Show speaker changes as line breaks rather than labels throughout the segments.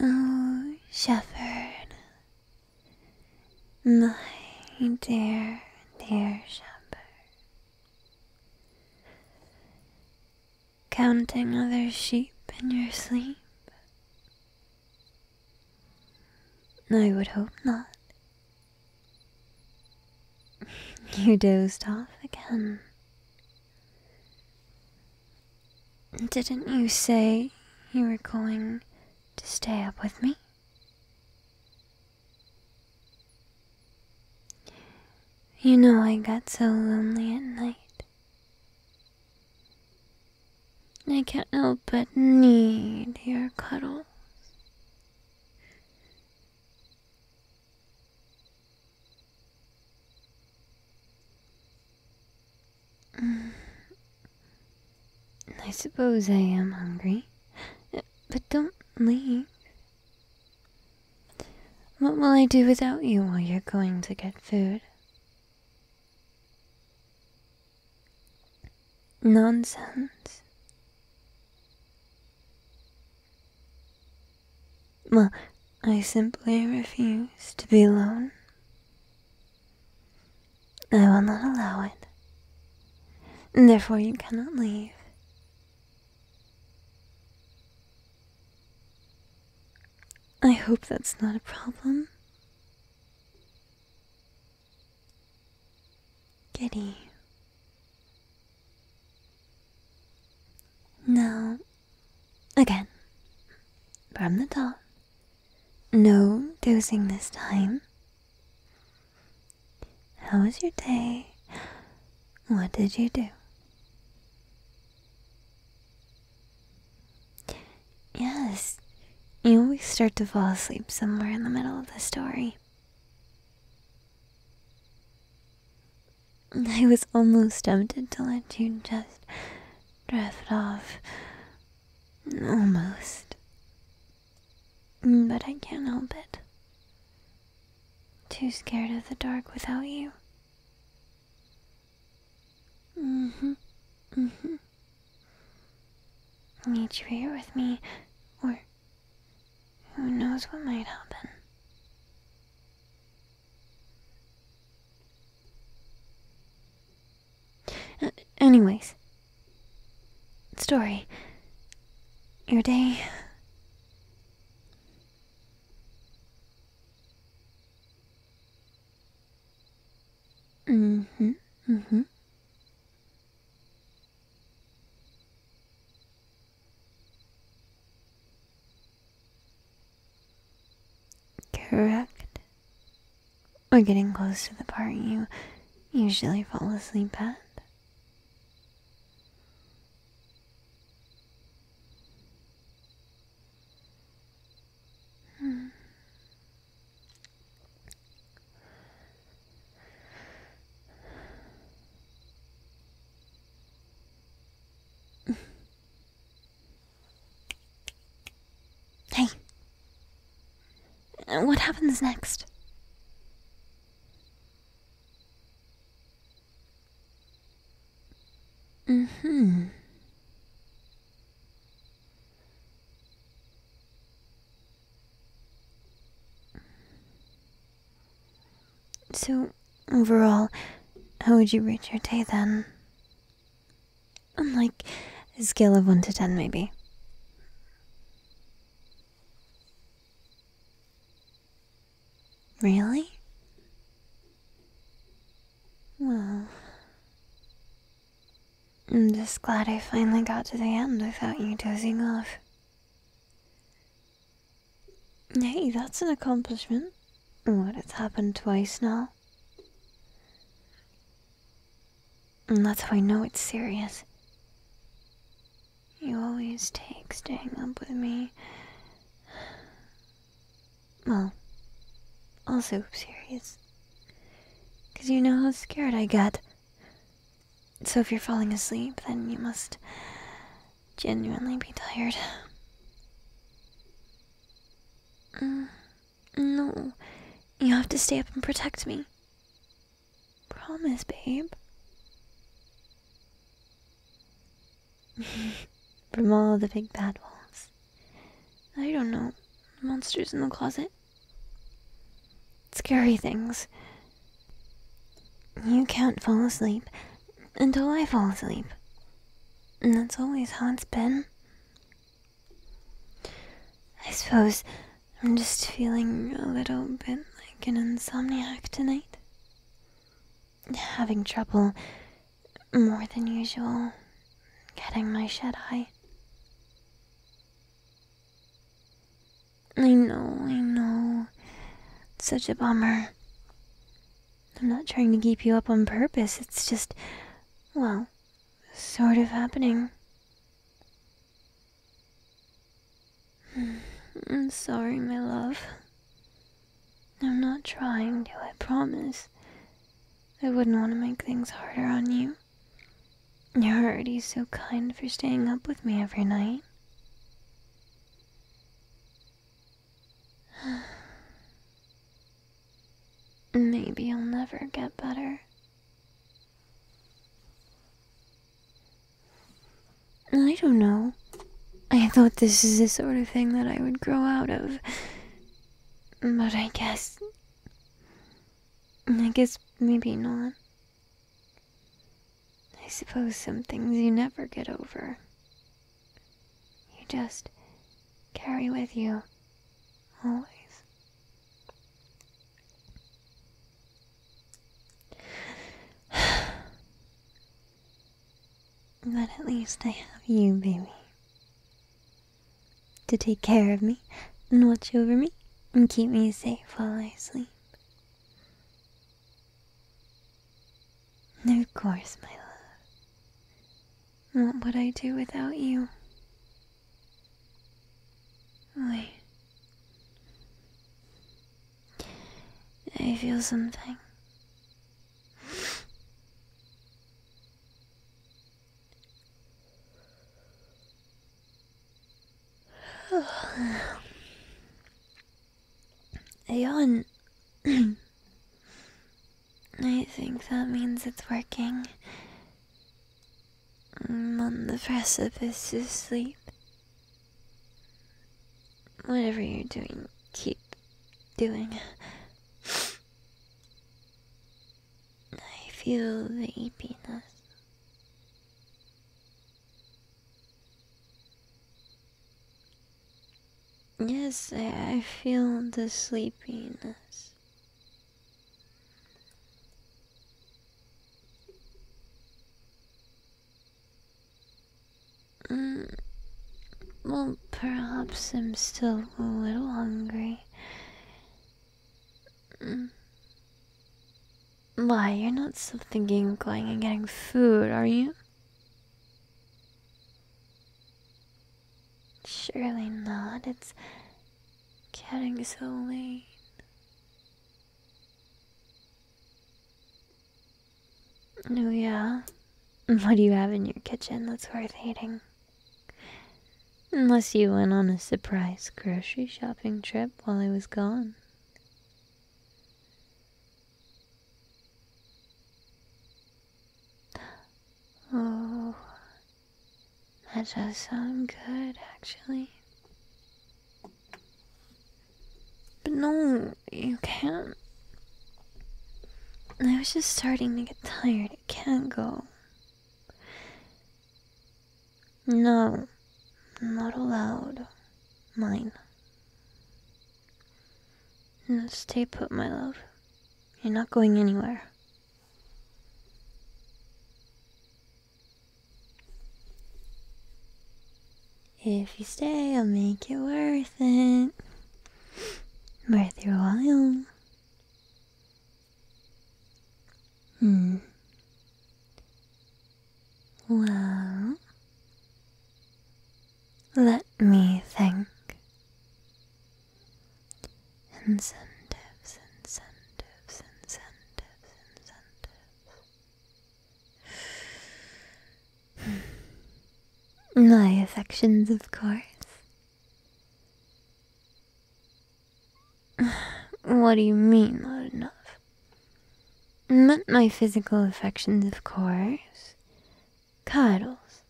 Oh, Shepherd, my dear, dear Shepherd. Counting other sheep in your sleep? I would hope not. You dozed off again. Didn't you say you were going to stay up with me? You know, I got so lonely at night. I can't help but need your cuddles. Mm. I suppose I am hungry but don't leave. What will I do without you while you're going to get food? Nonsense. Well, I simply refuse to be alone. I will not allow it. Therefore, you cannot leave. I hope that's not a problem. Giddy. Now, again, from the top. No dozing this time. How was your day? What did you do? Yes, you always start to fall asleep somewhere in the middle of the story. I was almost tempted to let you just drift off. Almost. Mm, but I can't help it. Too scared of the dark without you. Mm-hmm. Mm-hmm. Need you here with me, or who knows what might happen. Uh, anyways, story. Your day Mm-hmm, mm-hmm. Correct. We're getting close to the part you usually fall asleep at. Hmm. Hey. What happens next? hmm So, overall, how would you rate your day then? On like a scale of 1 to 10, maybe. Really? Well, I'm just glad I finally got to the end without you dozing off. Hey, that's an accomplishment. What, it's happened twice now? And that's how I know it's serious. You always take staying up with me. Well, also serious. Because you know how scared I get. So if you're falling asleep, then you must genuinely be tired. Mm, no, you have to stay up and protect me. Promise, babe. From all the big bad wolves. I don't know. Monsters in the closet. Scary things. You can't fall asleep until I fall asleep. And that's always how it's been. I suppose I'm just feeling a little bit like an insomniac tonight. Having trouble, more than usual, getting my shed eye. I know, I know. such a bummer. I'm not trying to keep you up on purpose, it's just, well, sort of happening. I'm sorry, my love. I'm not trying to, I promise. I wouldn't want to make things harder on you. You're already so kind for staying up with me every night. Maybe I'll never get better. I don't know. I thought this is the sort of thing that I would grow out of. But I guess. I guess maybe not. I suppose some things you never get over. You just carry with you. Always. But at least I have you, baby. To take care of me, and watch over me, and keep me safe while I sleep. Of course, my love. What would I do without you? Wait. I feel something. A I think that means it's working. I'm on the precipice to sleep. Whatever you're doing, keep doing. I feel the eepiness. Yes, I feel the sleepiness. Mm, well, perhaps I'm still a little hungry. Mm. Why, you're not still thinking of going and getting food, are you? Surely not. It's getting so late. Oh, yeah? What do you have in your kitchen that's worth eating? Unless you went on a surprise grocery shopping trip while I was gone. Oh, that does sound good, actually. But no, you can't. I was just starting to get tired. It can't go. No, not allowed. Mine. No, stay put, my love. You're not going anywhere. If you stay, I'll make it worth it. Worth your while. Hmm. Well, let me think. Incentives, incentives, incentives, incentives. My affections, of course. What do you mean, not enough? Not my physical affections, of course. Cuddles.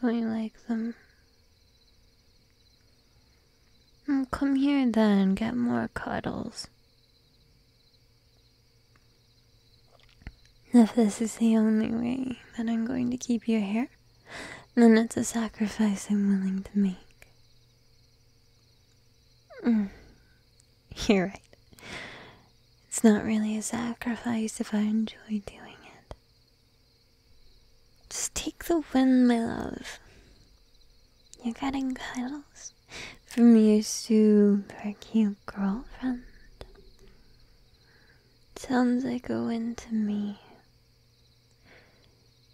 Don't you like them? Come here then, get more cuddles. If this is the only way that I'm going to keep you here, then it's a sacrifice I'm willing to make. Mm. You're right. It's not really a sacrifice if I enjoy doing it. Just take the wind, my love. You're getting cuddles from your super cute girlfriend. Sounds like a win to me.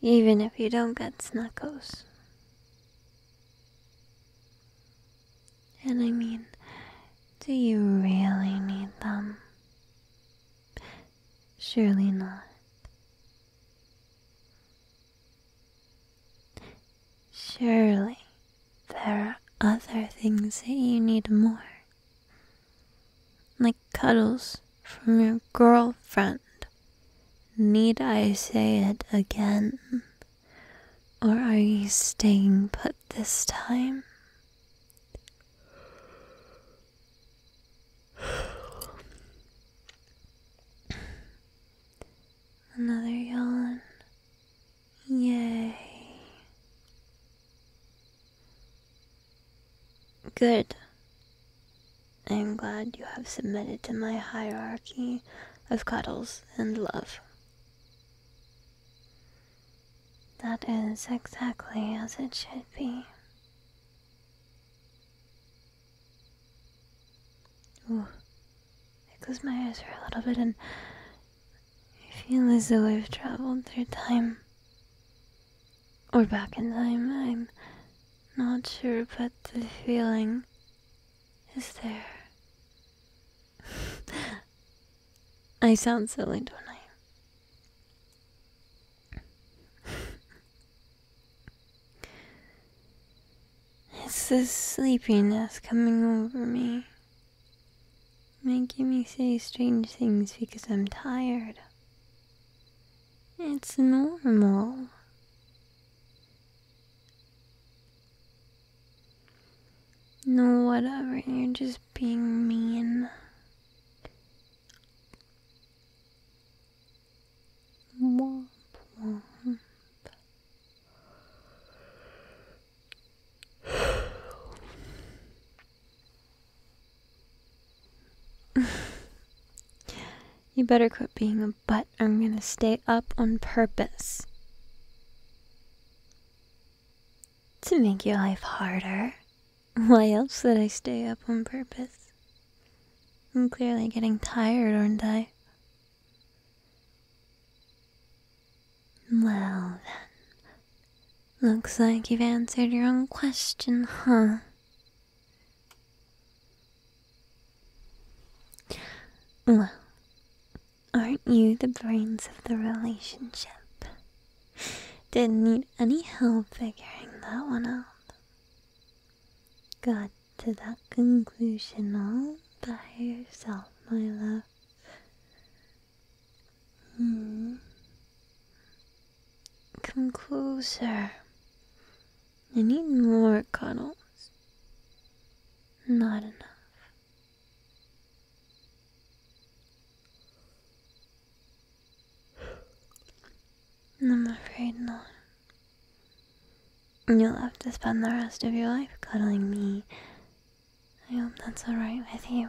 Even if you don't get snuggles. And I mean, do you really need them? Surely not. Surely there are other things that you need more. Like cuddles from your girlfriend. Need I say it again? Or are you staying put this time? Another yawn. Yay. Good. I am glad you have submitted to my hierarchy of cuddles and love. That is exactly as it should be. I close my eyes for a little bit and I feel as though I've traveled through time. Or back in time, I'm not sure, but the feeling is there. I sound silly, don't I? It's this sleepiness coming over me, making me say strange things because I'm tired. It's normal. No, whatever, you're just being mean. Womp womp. you better quit being a butt I'm gonna stay up on purpose. To make your life harder. Why else did I stay up on purpose? I'm clearly getting tired, aren't I? Well, then. Looks like you've answered your own question, huh? Well, aren't you the brains of the relationship? Didn't need any help figuring that one out. Good to that conclusion all by yourself, my love. Hmm. Come closer. I need more cuddles. Not enough. I'm afraid not. You'll have to spend the rest of your life cuddling me. I hope that's alright with you.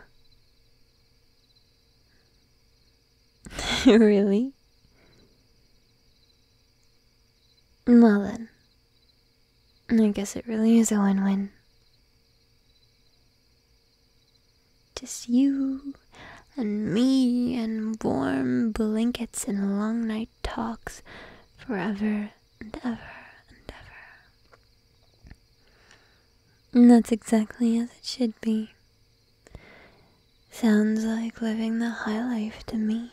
really? Well then. I guess it really is a win-win. Just you and me and warm blankets and long night talks forever and ever and ever. And that's exactly as it should be. Sounds like living the high life to me.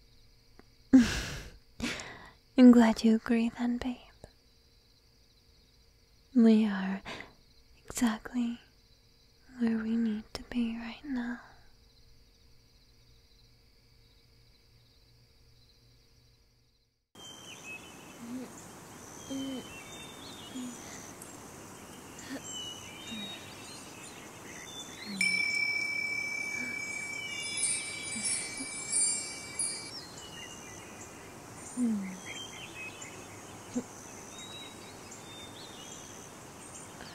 I'm glad you agree then, babe. We are exactly where we need to be right now.